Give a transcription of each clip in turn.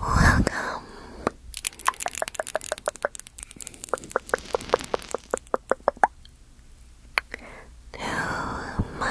Welcome. To my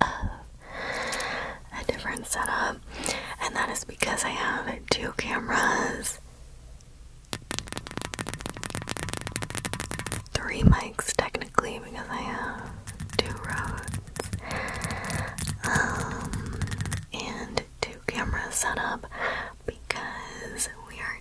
a different setup, and that is because I have two cameras, three mics technically, because I have two roads, um, and two cameras set up because we are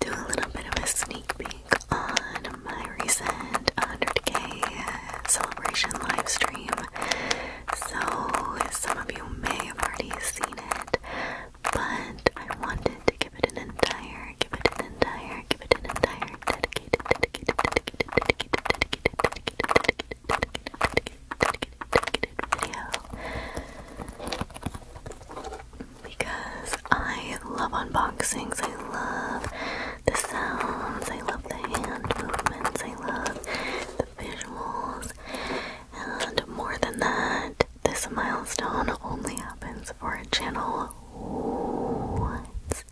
do a little bit of a sneak peek on my recent 100k celebration live stream. So, some of you may have already seen it, but I wanted to give it an entire, give it an entire, give it an entire dedicated, dedicated, dedicated, dedicated, dedicated, dedicated, dedicated, dedicated, dedicated video because I love unboxings. I love the sounds, I love the hand movements, I love the visuals, and more than that, this milestone only happens for a channel once.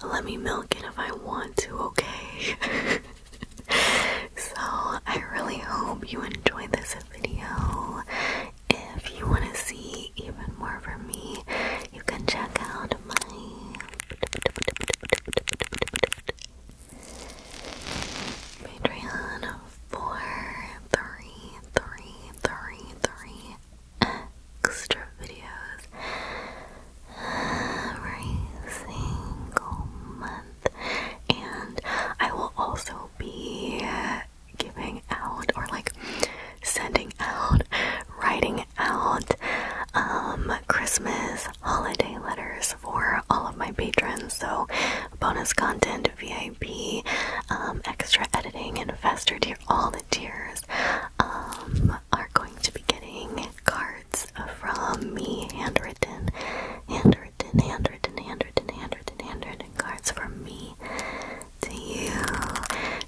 So let me milk it if I want to, okay? so I really hope you enjoyed this video. If you want to see even more from me, you can check out my Patreon for three, three, three, three extra videos every single month, and I will also be giving out or like sending out, writing out um Christmas holiday letters for all of my patrons. So bonus content, VIP, um, extra editing, and faster tier. All the tiers um, are going to be getting cards from me, handwritten, handwritten, handwritten, handwritten, handwritten, handwritten cards from me to you.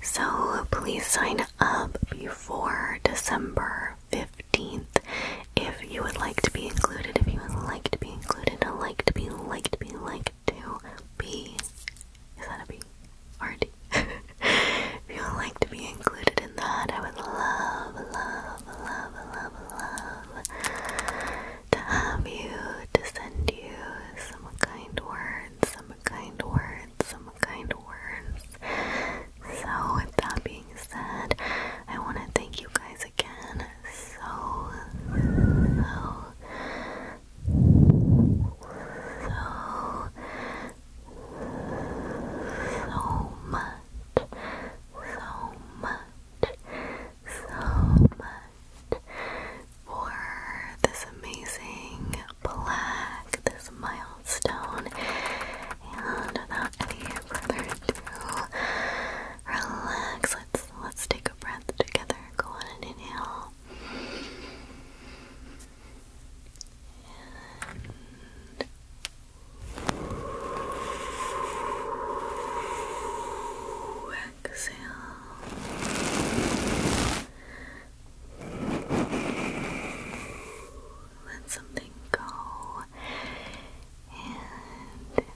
So please sign up before December 15th if you would like to be included, if you would like to be included, like to be, like to be, like to be. Is that a B? Or a D? if you would like to be included in that, I would love, love, love, love, love to have you, to send you some kind words, some kind words, some kind words. So, with that being said, I want to thank you guys again so, so, so, so much. So much, so much for this amazing black, this milestone. And without any further ado, Relax. Let's let's take a breath together. Go on and inhale. And exhale. Let something go and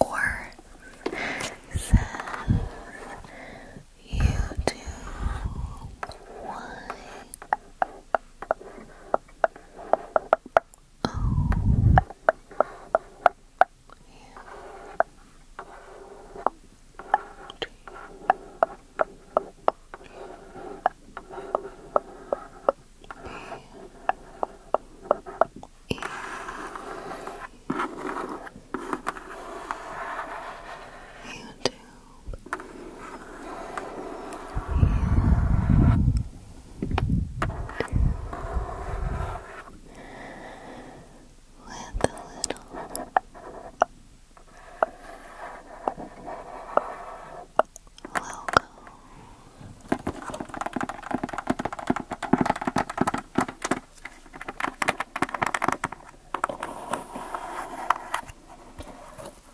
or says YouTube Y O U T P y YouTube. With a little logo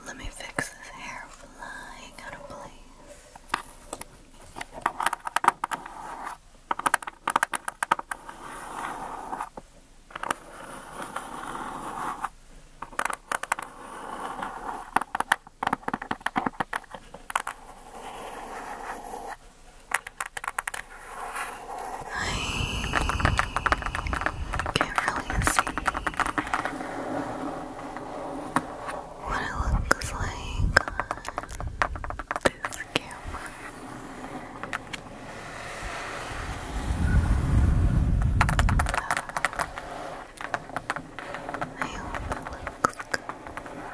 let me fix this hair flying out of place. I can't really see what it looks like this camera. I hope it looks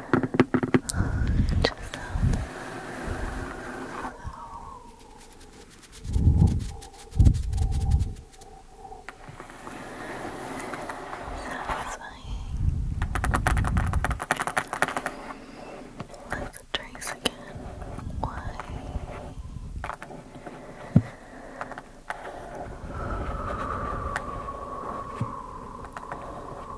Just help. Satisfying. Let's trace again. Why?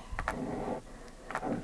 Walking through jungle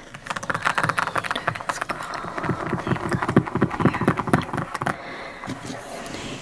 is crawling up your back. Snake Spider is crawling up your back. And snake on any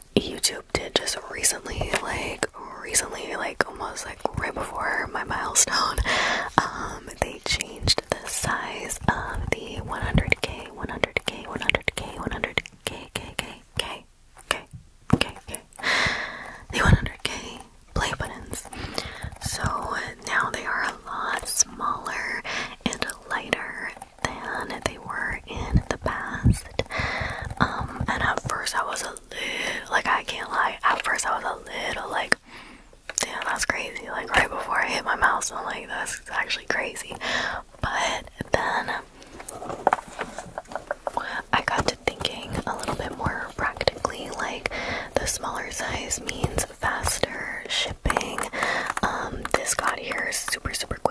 YouTube did just recently, like recently, like almost like right before my milestone, um, they changed the size of the 100k, 100k, 100k, 100k, k, k, k, k, k, k, the 100k play buttons. So now they are a lot smaller and lighter than they were in the past. Um, and at first I was a little, like, I can't lie, at first I was a little like, damn, that's crazy. Like, right before I hit my mouse, I'm like, that's actually crazy. But then I got to thinking a little bit more practically, like, the smaller size means faster shipping. Um, this got here super, super quick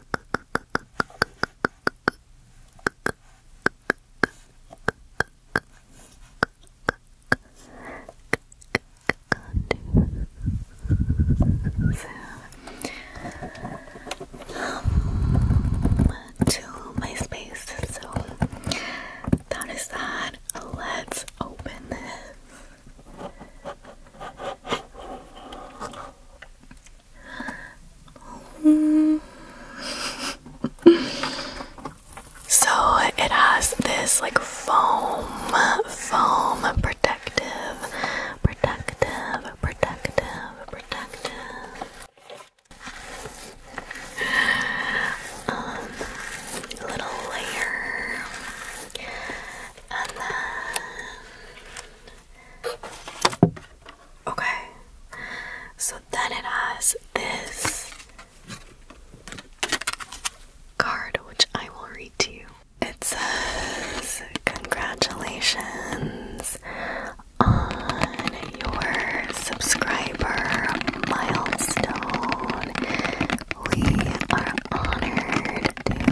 um, to my space. So that is that. Let's open this. so it has this like foam, foam protective, protective, protective, protective um, little layer, and then Okay. So then it has this card, which I will read to you. It says, Congratulations on your subscriber milestone. We are honored to take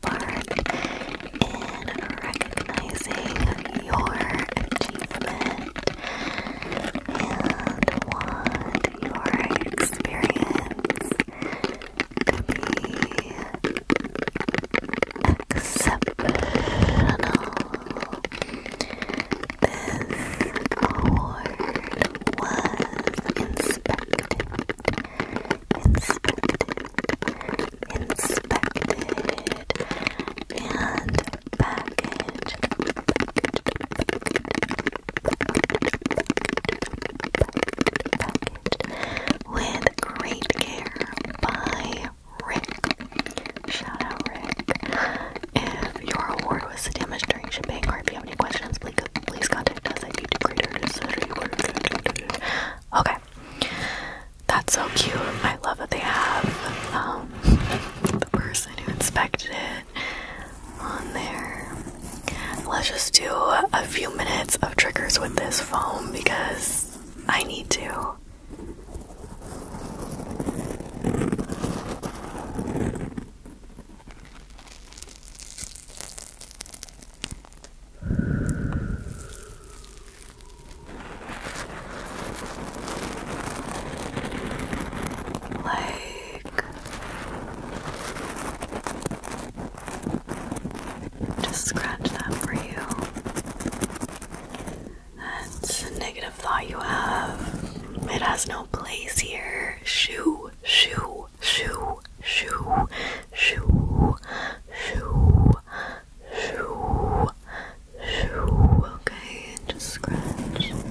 part in recognizing your achievement and want your experience to be exceptional. This award was inspected inspected and packaged. Packaged, with great care by Rick. Shout out Rick. If your award was damaged during shipping or if you have any questions, please contact us at youtube.com. Okay. That's so cute. I love that they have um, the person who inspected it on there. Let's just do a few minutes of triggers with this phone because I need to. Like, just scratch that for you. That's a negative thought you have. It has no place here. Shoo, shoo shoo, shoo, shoo, shoo, shoo, shoo. Okay, and just scratch it away.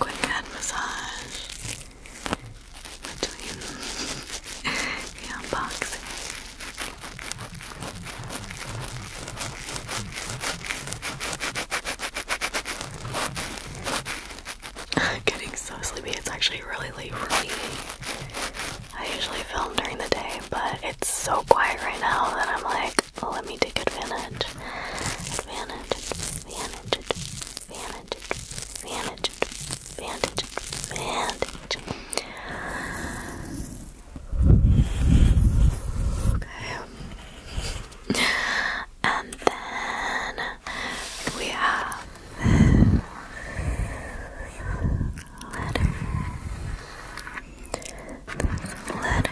Quick head massage between the unboxing. I'm getting so sleepy. It's actually really late for me. I usually film during the day, but it's so quiet right now that I'm like, well, oh, let me take advantage. Advantage, advantage, advantage, advantage, advantage, advantage. Okay. And then we have letter. This letter, letter, letter, that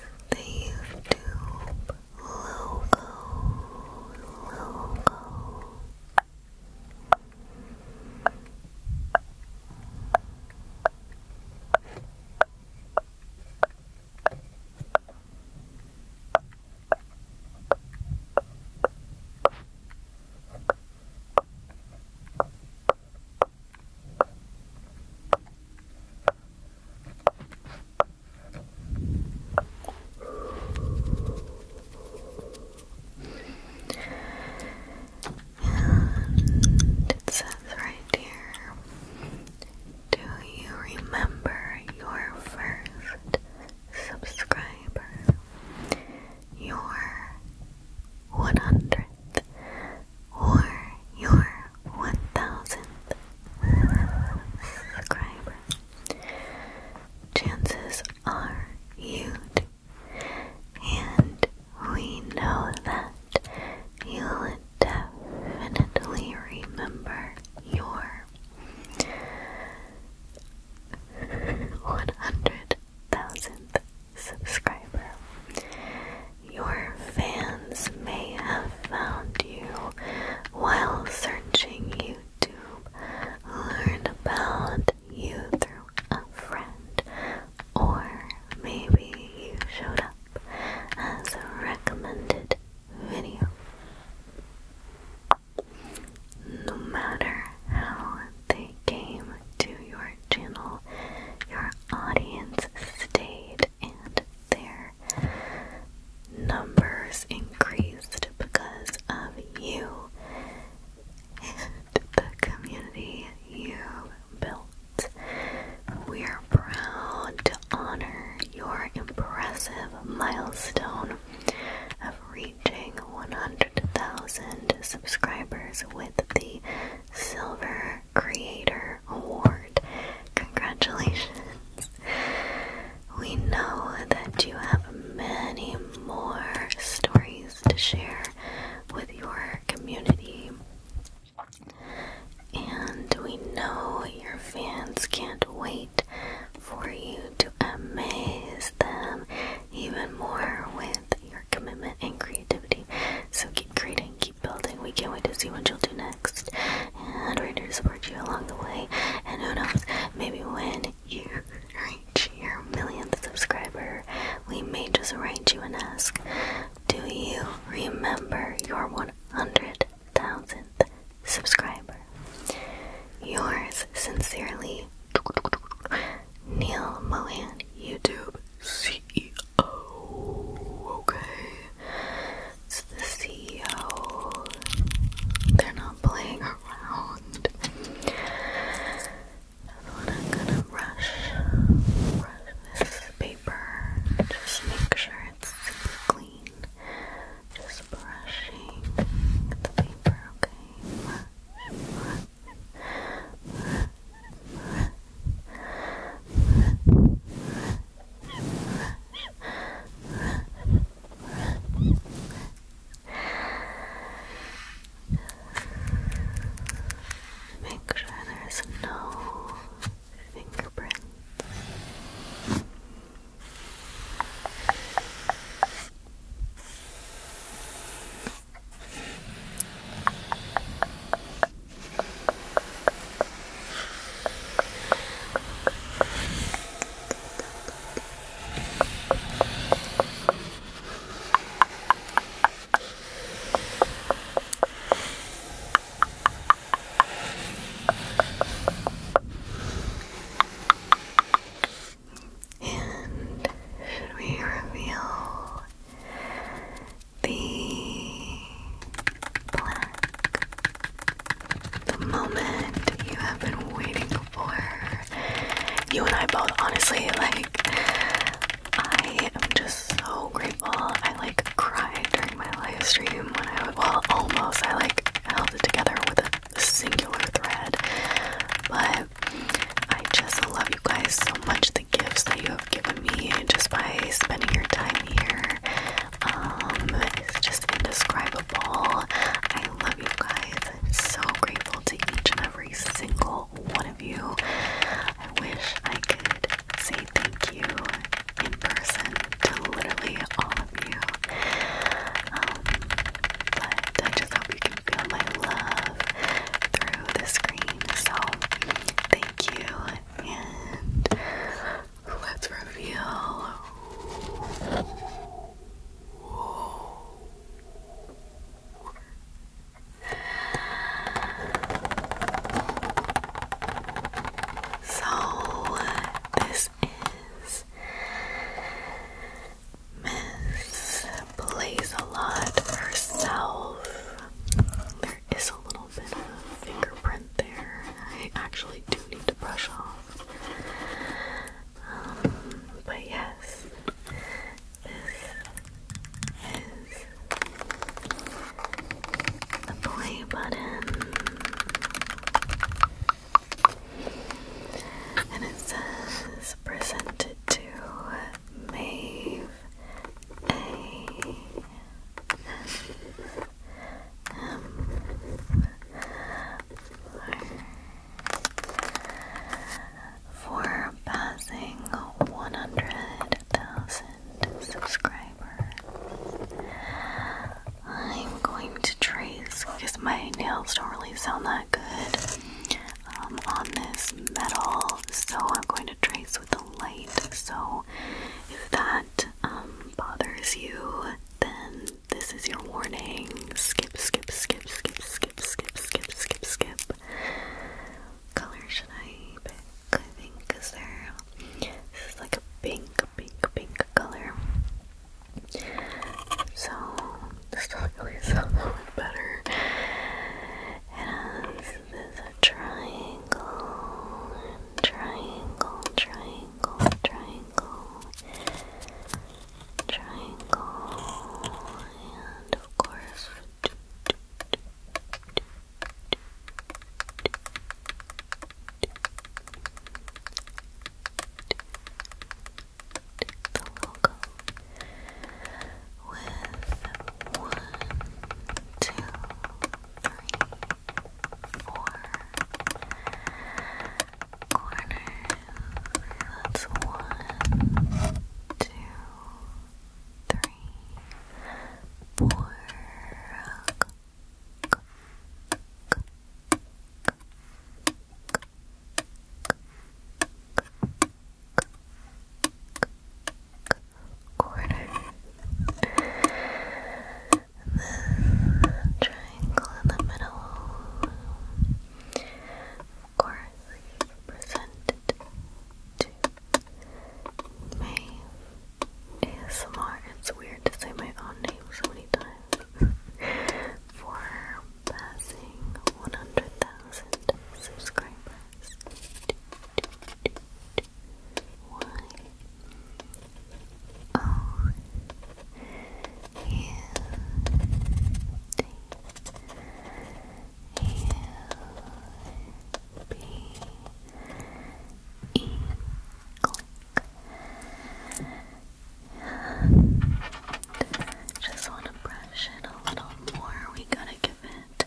does leave tube logo, logo it says right here Do you remember your first subscriber? Your 100th or your 1000 subscriber, chances are huge, and we know that you'll definitely remember your 100,000th subscriber your fans may have found you while searching YouTube. Learned about you through a friend, or maybe you showed up as a recommended video. No matter how they came to your channel, your audience stayed and their numbers increased because of you and the community you built. We are proud to honor your impressive milestone of reaching 100,000 subscribers with the Silver Creator Award. Congratulations! We know that you have many more stories to share with your community. And we know your fans can't wait for you to amaze them even more with your commitment and creativity. So keep creating, building. We can't wait to see what you'll do next. And we're here to support you along the way. And who knows, maybe when you reach your millionth subscriber, we may just write you and ask, Do you remember your 100,000th subscriber? Yours sincerely, Neil Mohan, YouTube CEO. Okay. It's the CEO. They're not playing around. That's what I'm gonna brush. Brush this paper. Just make sure it's super clean. Just brushing the paper, okay? Make sure there's no fingerprints. And should we reveal the the moment you have been waiting for. You and I both, honestly, like, I am just so grateful. I like cried during my live stream when I was, well, almost. I like held it together with a singular thread. But I just love you guys so much. The gifts that you have given me just by spending your time here. Um, it's just indescribable. I love you guys. I'm so grateful to each and every single one of you. I wish I could say thank you in person to literally all of you. Um, but I just hope you can feel my love through the screen. So, thank you. And Let's reveal. So, this is Miss Plays a Lot herself. There is a little bit of fingerprint there. I actually do need to brush off. Um, but yes, this is the play button. And it says presented to Maeve for, passing 100,000 subscribers. I'm going to trace because my nails don't really sound that good um, on this metal, so I'm going to trace with the light. So, if that that um, bothers you, then this is your warning. Skip, skip, skip, skip, skip, skip, skip, skip, skip. Color should I pick? I think because there. This is like a pink, pink, pink color. So this really sounds a lot better. It has this a triangle triangle, triangle, triangle, triangle, and of course. The logo with one, two, three, four corners. That's one, two, three, four. Quarter this triangle in the middle. Of course, presented to Maeve ASMR. It's weird to say my own name so many times. For passing 100,000 subscribers. Why Oh, you Just want to brush it a little more. We gotta give it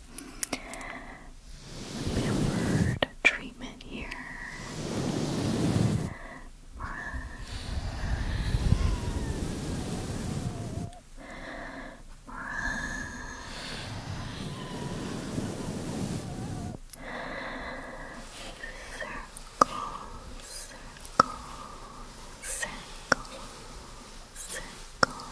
pampered treatment here. Brush. Brush. Circle, circle, circle, circle, circle.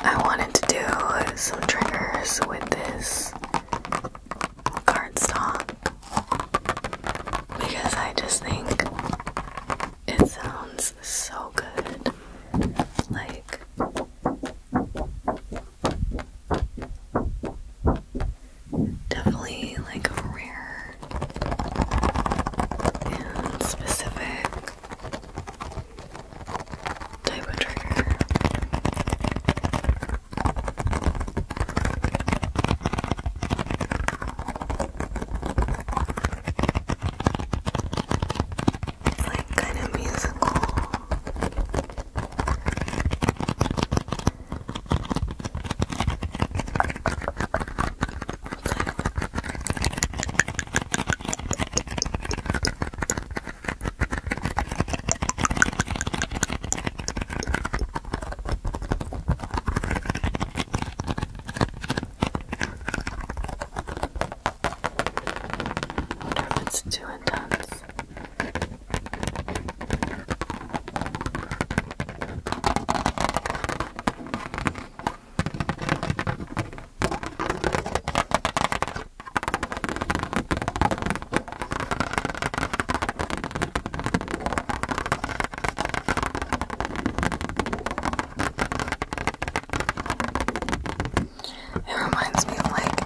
I wanted to do some triggers with this cardstock because I just think it sounds so good. Like, definitely like a rare and specific type of trigger like kind of musical wonder if it's too intense. It reminds me of like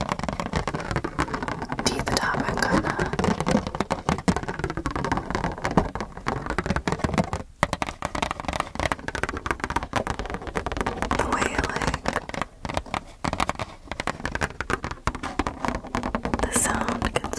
Tea kinda the way like the sound gets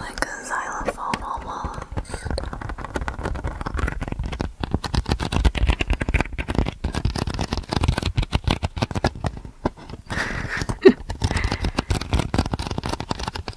Like a xylophone almost.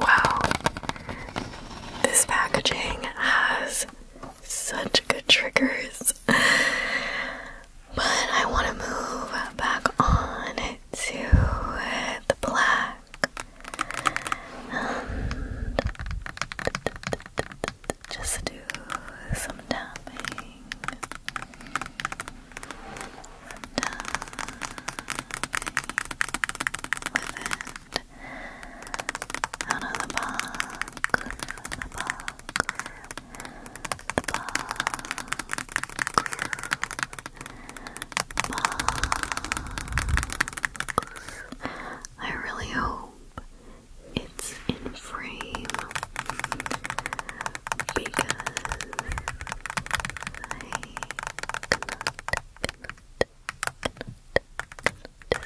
Wow, this packaging has such good triggers, but I want to move back on to the black. Um, just do some tapping. Some with it. Out of the box, the box, the box, I really hope it's in frame because I cannot, see what's going on on this second, second,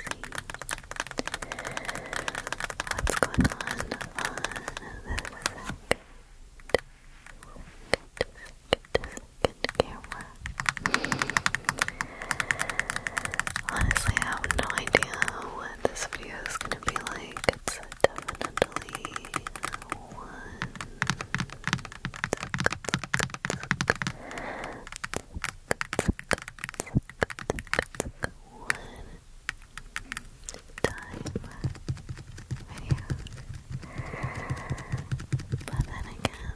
second camera Honestly, I have no idea what this video is gonna be like. It's definitely one. One time video. But then again,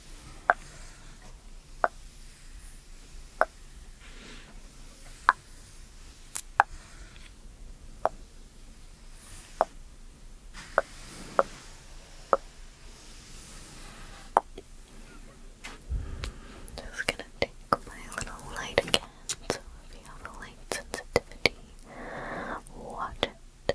Just gonna take my little light again. So if you have a light sensitivity, watch it.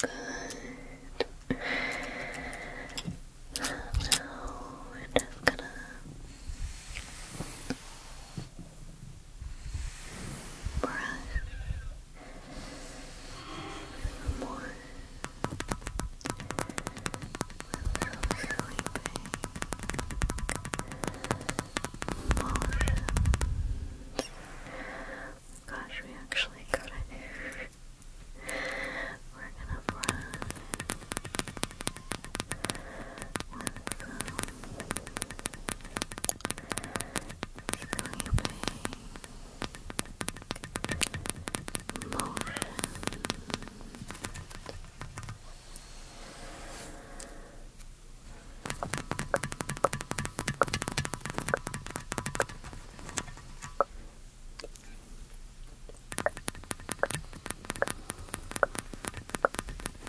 Good. Now we're just gonna brush more. so sleeping. Motion. Gosh, we actually got it. We're gonna brush sleeping, motion. Sleep.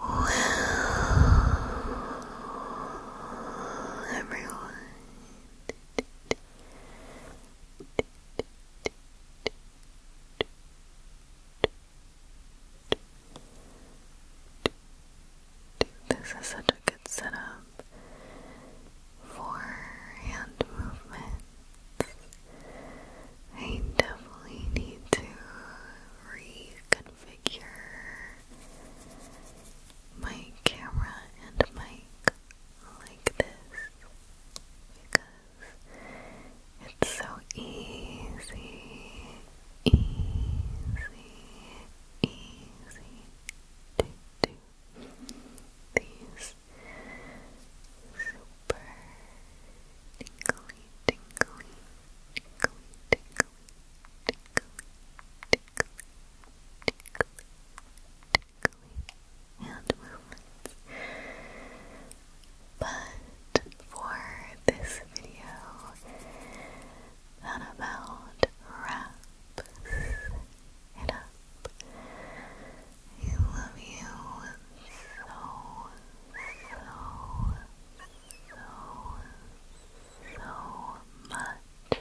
Well, everyone, this is such a good setup for hand movements. I definitely need to reconfigure my camera and mic like this because it's so easy, easy, easy to do these super tingly, tingly, tingly, tingly, tingly, tingly, tingly, tingly and movements. But for this video, about wraps it up. I love you so, so, so, so much.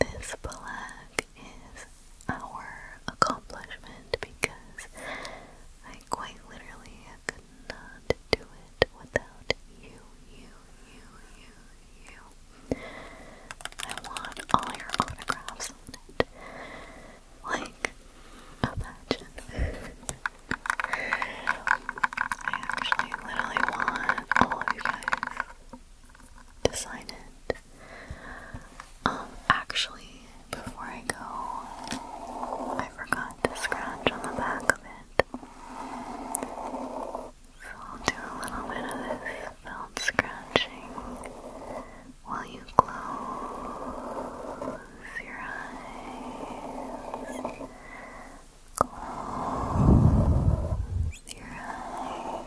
This black is our accomplishment because I quite literally could not do it without you, you, you, you, you. I want all your autographs on it. Like, imagine. I actually literally want all of you guys to sign it. Um, actually, before I go, I forgot to scratch on the back of it. So I'll do a little bit of this felt scratching while you close your eyes. Close your eyes.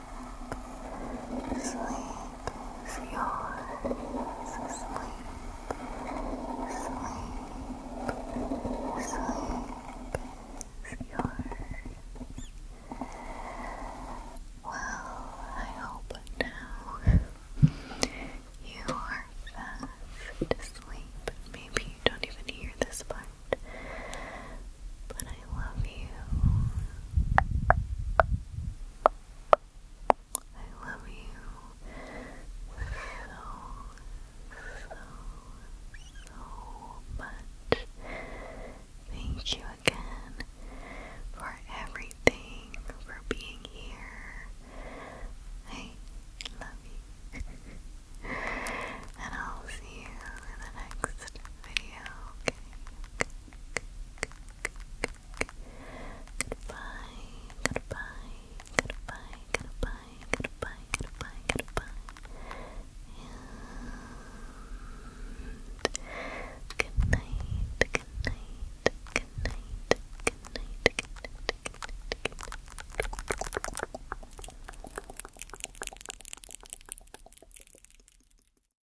Sleep is yours. Sleep. Sleep. Sleep is yours. Well, I hope now you are fast asleep. Maybe you don't even hear this part. But I love you. I love you so, so, so much. Thank you again for everything, for being here. I love you. and I'll see you in the next video. Okay. Goodbye, goodbye, goodbye, goodbye, goodbye, goodbye, goodbye. And good night, good night, good